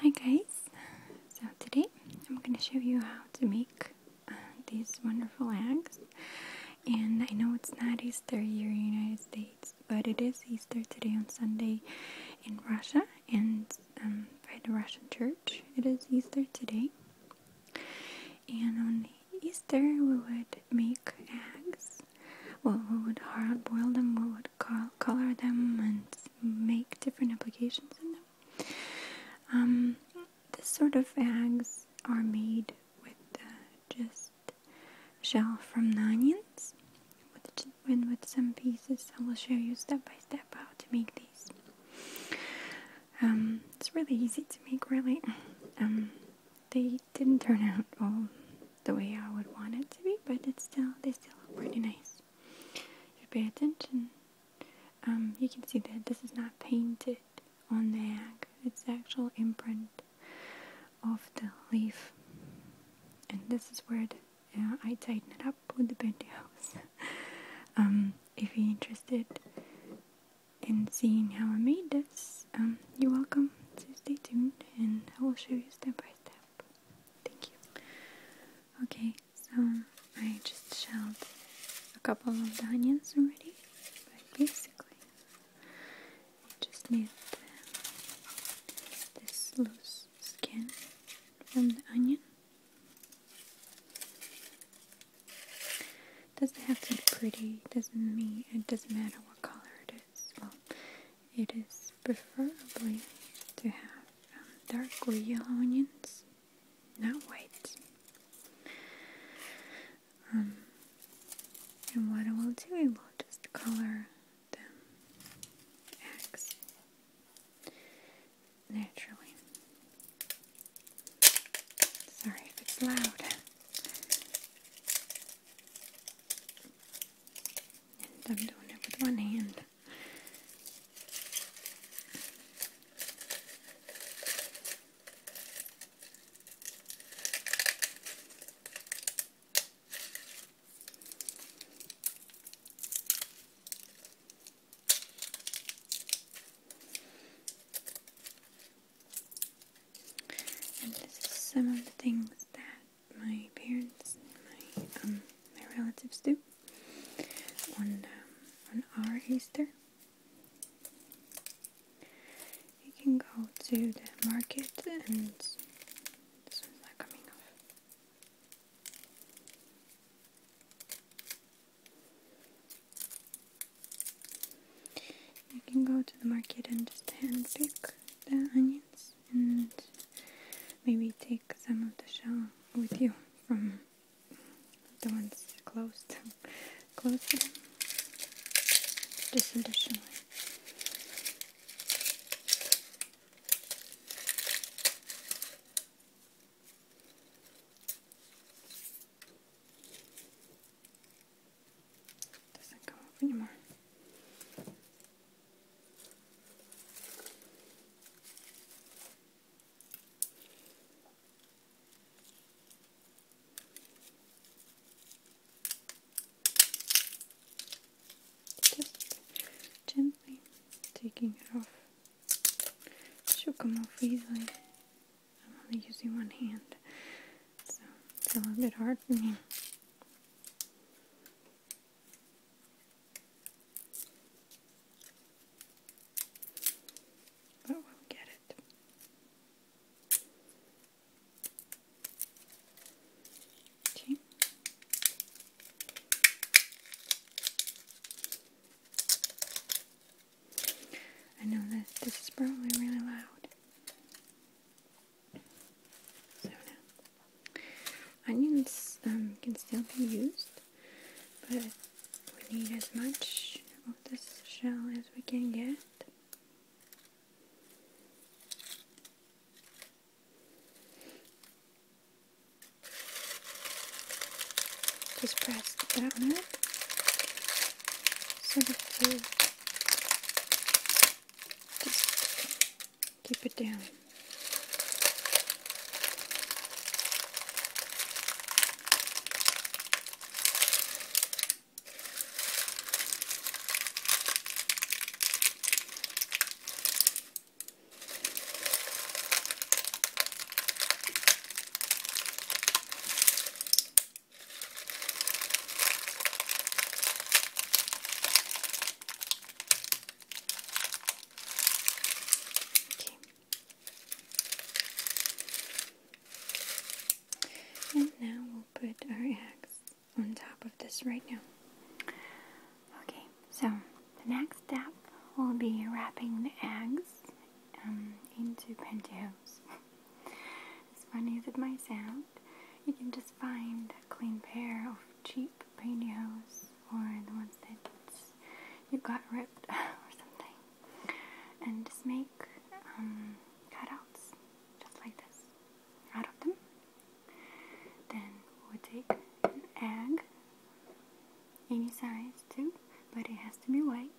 Hi guys, so today I'm going to show you how to make uh, these wonderful eggs and I know it's not Easter here in the United States but it is Easter today on Sunday in Russia and um, by the Russian church it is Easter today and on Easter we would make eggs well we would hard boil them, we would color them and make different applications in them. Um, this sort of bags are made with uh, just shell from the onions, with, and with some pieces I will show you step by step how to make these. Um, it's really easy to make, really. Um, they didn't turn out all the way I would want it to be, but it's still they still look pretty nice. If you pay attention, um, you can see that this is not painted on the egg; it's the actual imprint of the leaf, and this is where uh, I tighten it up with the pantyhose. hose. Um, if you're interested in seeing how I made this, um, you're welcome to stay tuned, and I will show you step by step. Thank you. Okay, so I just shelled a couple of the onions already, but basically, just need this loose skin from the onion. Doesn't have to be pretty. Doesn't mean it doesn't matter what color it is. It is preferably to have um, dark or yellow onions, not white. Um, and what I will do, I will just color the naturally. Sorry if it's loud. I'm doing it with one hand. And this is some of the things that my parents, my um, my relatives do on um, on our Easter. You can go to the market and this one's not coming off. You can go to the market and just hand pick the onions and maybe take some of the shell with you from the ones closed. Close them. Just additionally. Doesn't come anymore. Just gently taking it off. It should come off easily. I'm only using one hand, so it's a little bit hard for me. But oh, we'll get it. Okay. I know that this is probably really loud. So Onions um, can still be used, but we need as much of this shell as we can get. Just press down it so that you just Keep it down. And now we'll put our eggs on top of this right now. Okay, so the next step will be wrapping the eggs um, into pantyhose. as funny as it might sound, you can just find a clean pair of cheap pantyhose or the ones that you got ripped or something, and just make um, cutouts just like this out of them. Then we'll take an egg, any size too, but it has to be white.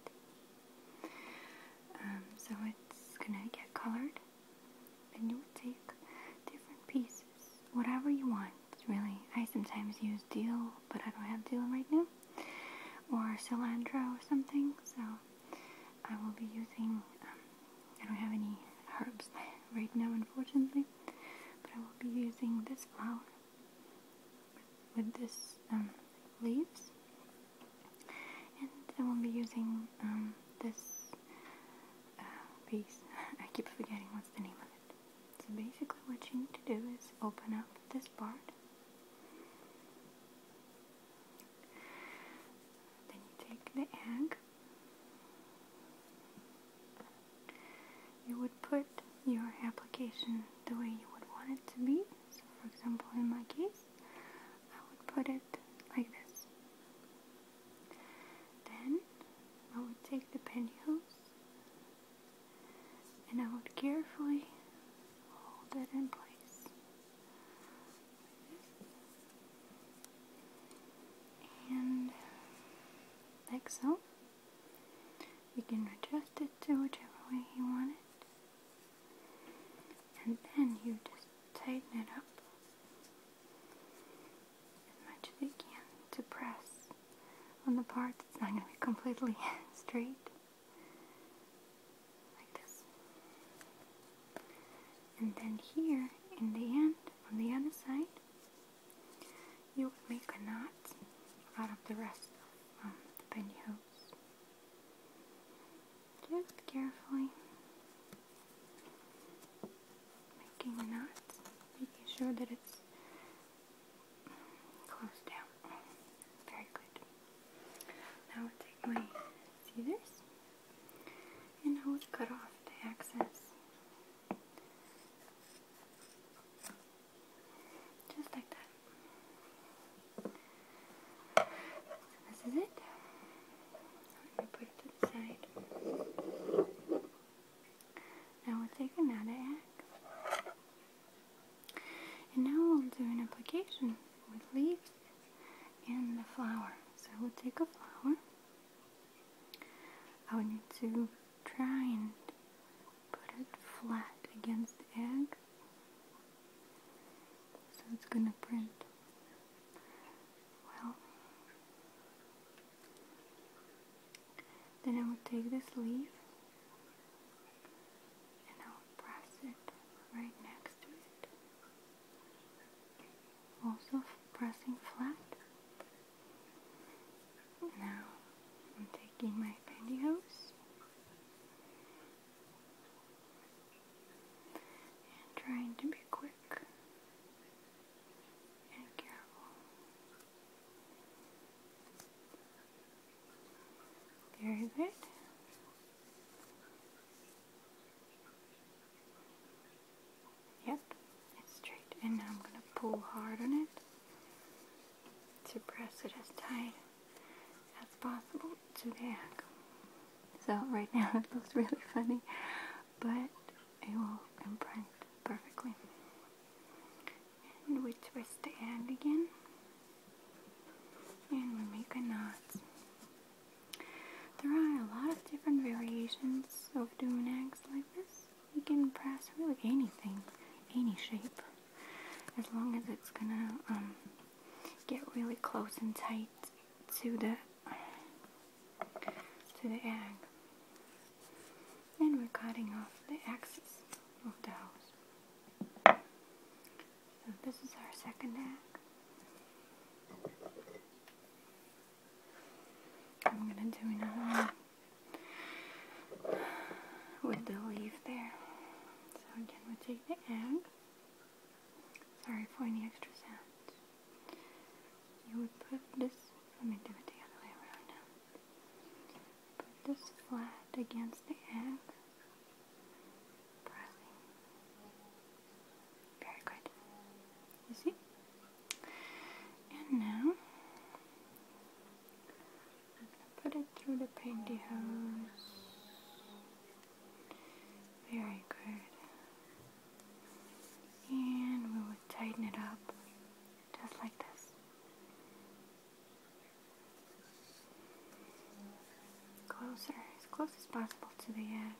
Um, so it's gonna get colored. And you would take different pieces whatever you want, really. I sometimes use dill, but I don't have dill right now, or cilantro or something, so I will be using, um, I don't have any herbs right now, unfortunately, but I will be using this flower with this um, leaves, and I will be using um, this piece. Uh, I keep forgetting what's the name of it. So basically what you need to do is open up this part. Then you take the egg. You would put your application the way you would want it to be. So for example in my case, I would put it like this. Then I would take the pantyhose and I would carefully hold it in place and like so. You can adjust it to whichever way you want it, and then you just tighten it up as much as you can to press on the part that's not going to be completely straight. Like this. And then here, in the end, on the other side, you would make a knot out of the rest of the um, the pantyhose. Just carefully making a knot, making sure that it's close down. Very good. Now i take my scissors and I will cut off the excess. Just like that. this is it. Let me put it to the side. Now we'll take another egg. And now we'll do an application with leaves and the flower. So we'll take a flower. I would need to try and put it flat against the egg. So it's gonna print well. Then I will take this leaf and I will press it right next to it. Also pressing flat. Now I'm taking my pantyhose and trying to be quick and careful. Very good. Yep, it's straight. And I'm going to pull hard on it to press it as tight as possible to the ankle. So right now it looks really funny, but it will imprint perfectly and we twist the end again and we make a knot. There are a lot of different variations of doing eggs like this. You can press really anything, any shape, as long as it's gonna um, get really close and tight to the to the egg and we're cutting off the axis of the house. So this is our second egg. I'm gonna do another one with the leaf there. So again we we'll take the egg. Sorry for any extra sounds. You would put this let me do it the other way around now. Put this flat against the egg. Pressing. Very good. You see? And now, put it through the pantyhose. Very good. And we will tighten it up just like this. Closer, as close as possible to the end.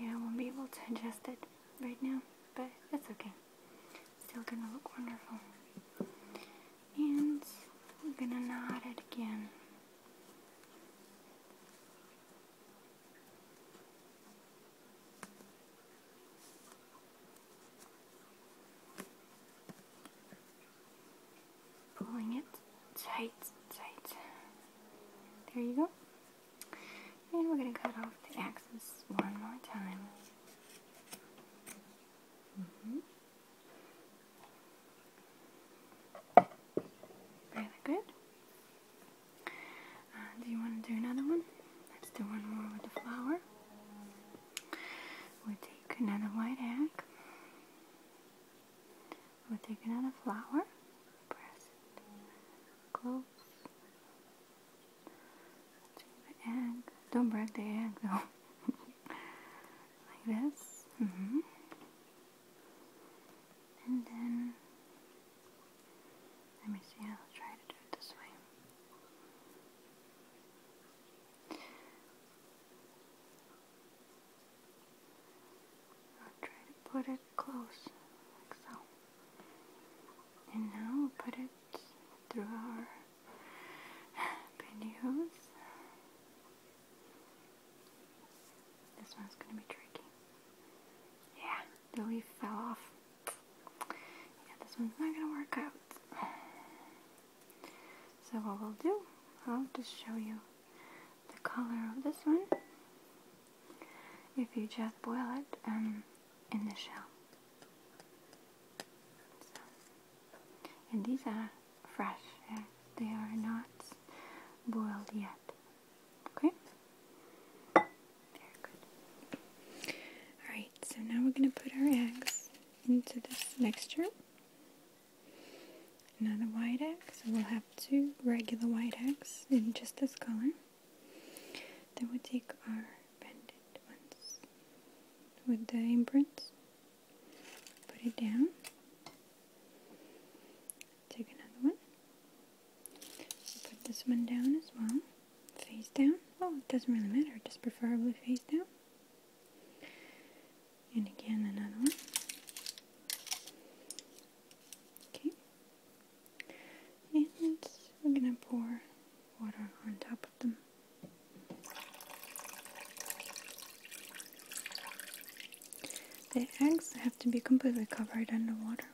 Yeah, I won't be able to adjust it right now, but that's okay. still gonna look wonderful. And we're gonna knot it again. Pulling it tight, tight. There you go. And we're going to cut off the axis one more time. Mm Really good. Uh, do you want to do another one? Let's do one more with the flour. We'll take another white egg. We'll take another flour. Press Close. Take the egg. Don't break the egg though. like this. Mm-hmm. And then let me see, I'll try to do it this way. try to put it close, like so. And now put it through our pantyhose. This one's gonna be tricky. Yeah, the leaf fell off. Yeah, this one's not gonna work out. So what we'll do, I'll just show you the color of this one if you just boil it um, in the shell. and these are fresh, they are not boiled yet. Okay? Alright, so now we're going to put our eggs into this mixture. Another white egg, so we'll have two regular white eggs in just this color. Then we'll take our banded ones with the imprints, put it down, take another one, Put this one down as well, face down. Oh, it doesn't really matter, just preferably face down. And again, another one. Okay. And we're gonna pour water on top of them. The eggs have to be completely covered under water.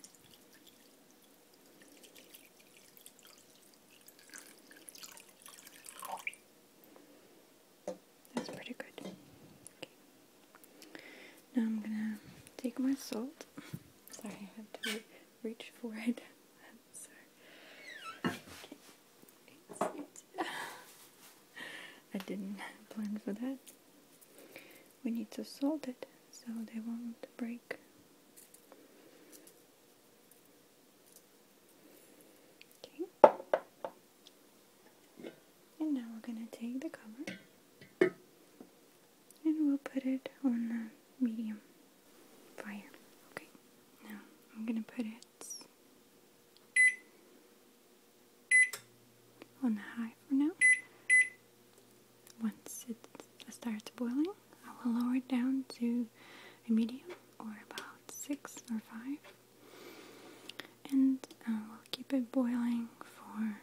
That's pretty good. Now I'm gonna take my salt. Sorry, I have to reach for it. I didn't plan for that. We need to salt it so they won't break break. Okay. And now we're going to take the cover and we'll put it on the medium fire. Okay. Now I'm going to put it on the high for now. Once it starts boiling, I will lower it down to a medium or about six or five, and uh, we'll keep it boiling for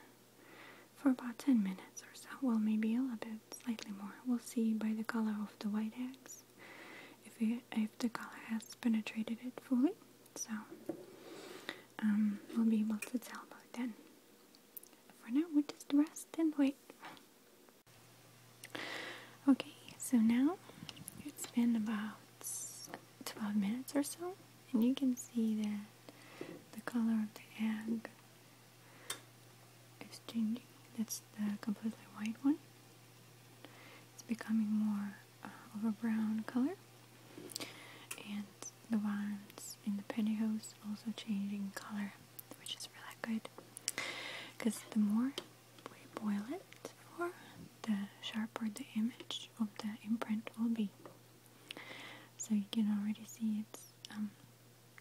for about ten minutes or so. Well, maybe a little bit, slightly more. We'll see by the color of the white eggs if if the color has penetrated it fully. So um, we'll be able to tell by then. For now, we just rest and wait Okay, so now it's been about 12 minutes or so, and you can see that the color of the egg is changing. That's the completely white one. It's becoming more uh, of a brown color, and the ones in the pantyhose also changing color, which is really good. Because the more we boil it for, the sharper the image of the imprint will be. So you can already see it's um,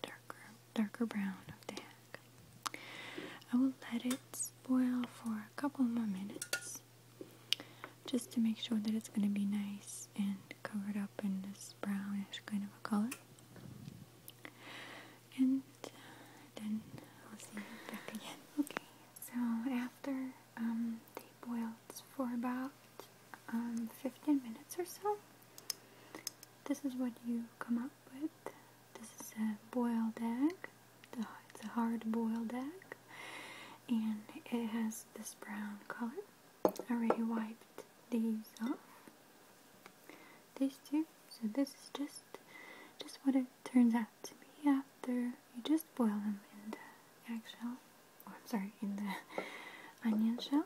darker, darker brown of the egg. I will let it boil for a couple more minutes just to make sure that it's going to be nice and covered up in this brownish kind of a color and uh, then I'll see you back again. Okay, so after um, they boiled for about um, 15 minutes or so, this is what you come up with. This is a boiled egg. It's a hard-boiled egg, and it has this brown color. I already wiped these off these two. So this is just just what it turns out to be after you just boil them in the eggshell, or oh, I'm sorry, in the onion shell.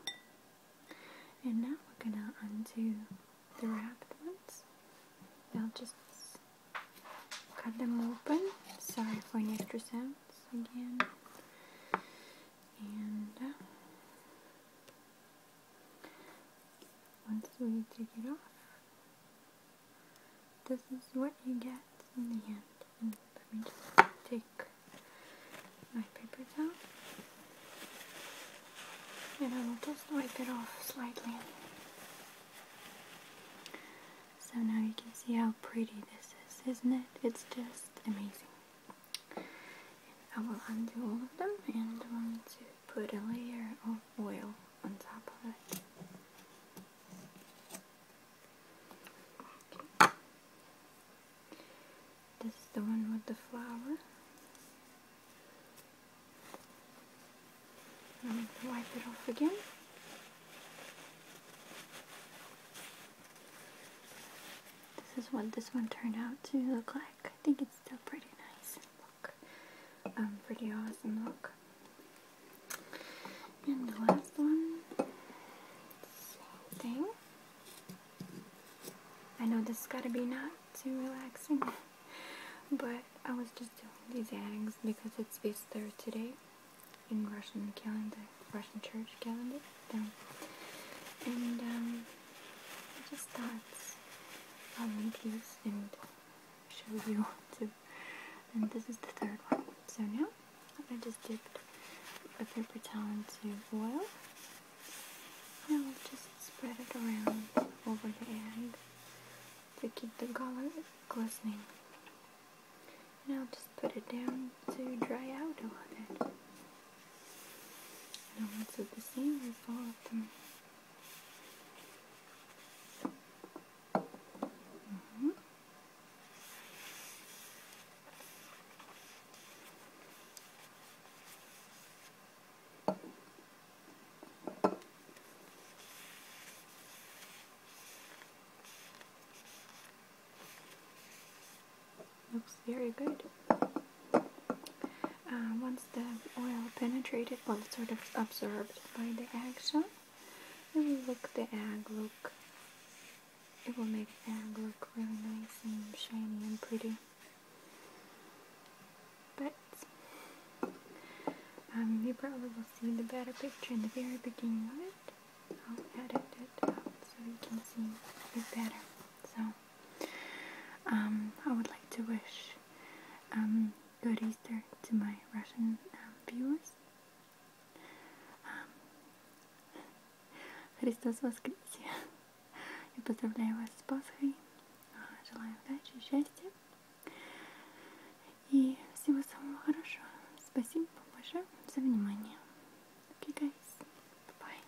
And now we're gonna undo the wrap ones. I'll just cut them open. Sorry for any extra sounds again. And uh, once we take it off, this is what you get in the end. And let me just take my paper towel and I will just wipe it off slightly. So now you can see how pretty this is, isn't it? It's just amazing. I will undo all of them and I'm going to put a layer of oil on top of it. Okay. This is the one with the flower. I'm going to wipe it off again. This is what this one turned out to look like. I think still pretty nice look. Um, pretty awesome look. And the last one, same thing. I know this has got to be not too relaxing, but I was just doing these addings because it's Easter today in Russian calendar, Russian church calendar. And um, just starts these and show you too. And this is the third one. So now I just dipped a paper towel into oil. and I'll just spread it around over the end to keep the color glistening. And I'll just put it down to dry out a little bit. No one said the same as all of them. Mm-hmm. Looks very good. Uh, once the oil penetrated, well, sort of absorbed by the action, it will look the egg look. It will make the egg look really nice and shiny and pretty. But um, you probably will see the better picture in the very beginning of it. I'll edit it out so you can see it better. So Um, I would like to wish um, good Easter to my Russian um, viewers. Um, Христос воскресе! Я поздравляю вас с Пасхой, а, желаю удачи, счастья и всего самого хорошего. Спасибо большое за внимание. Okay, guys.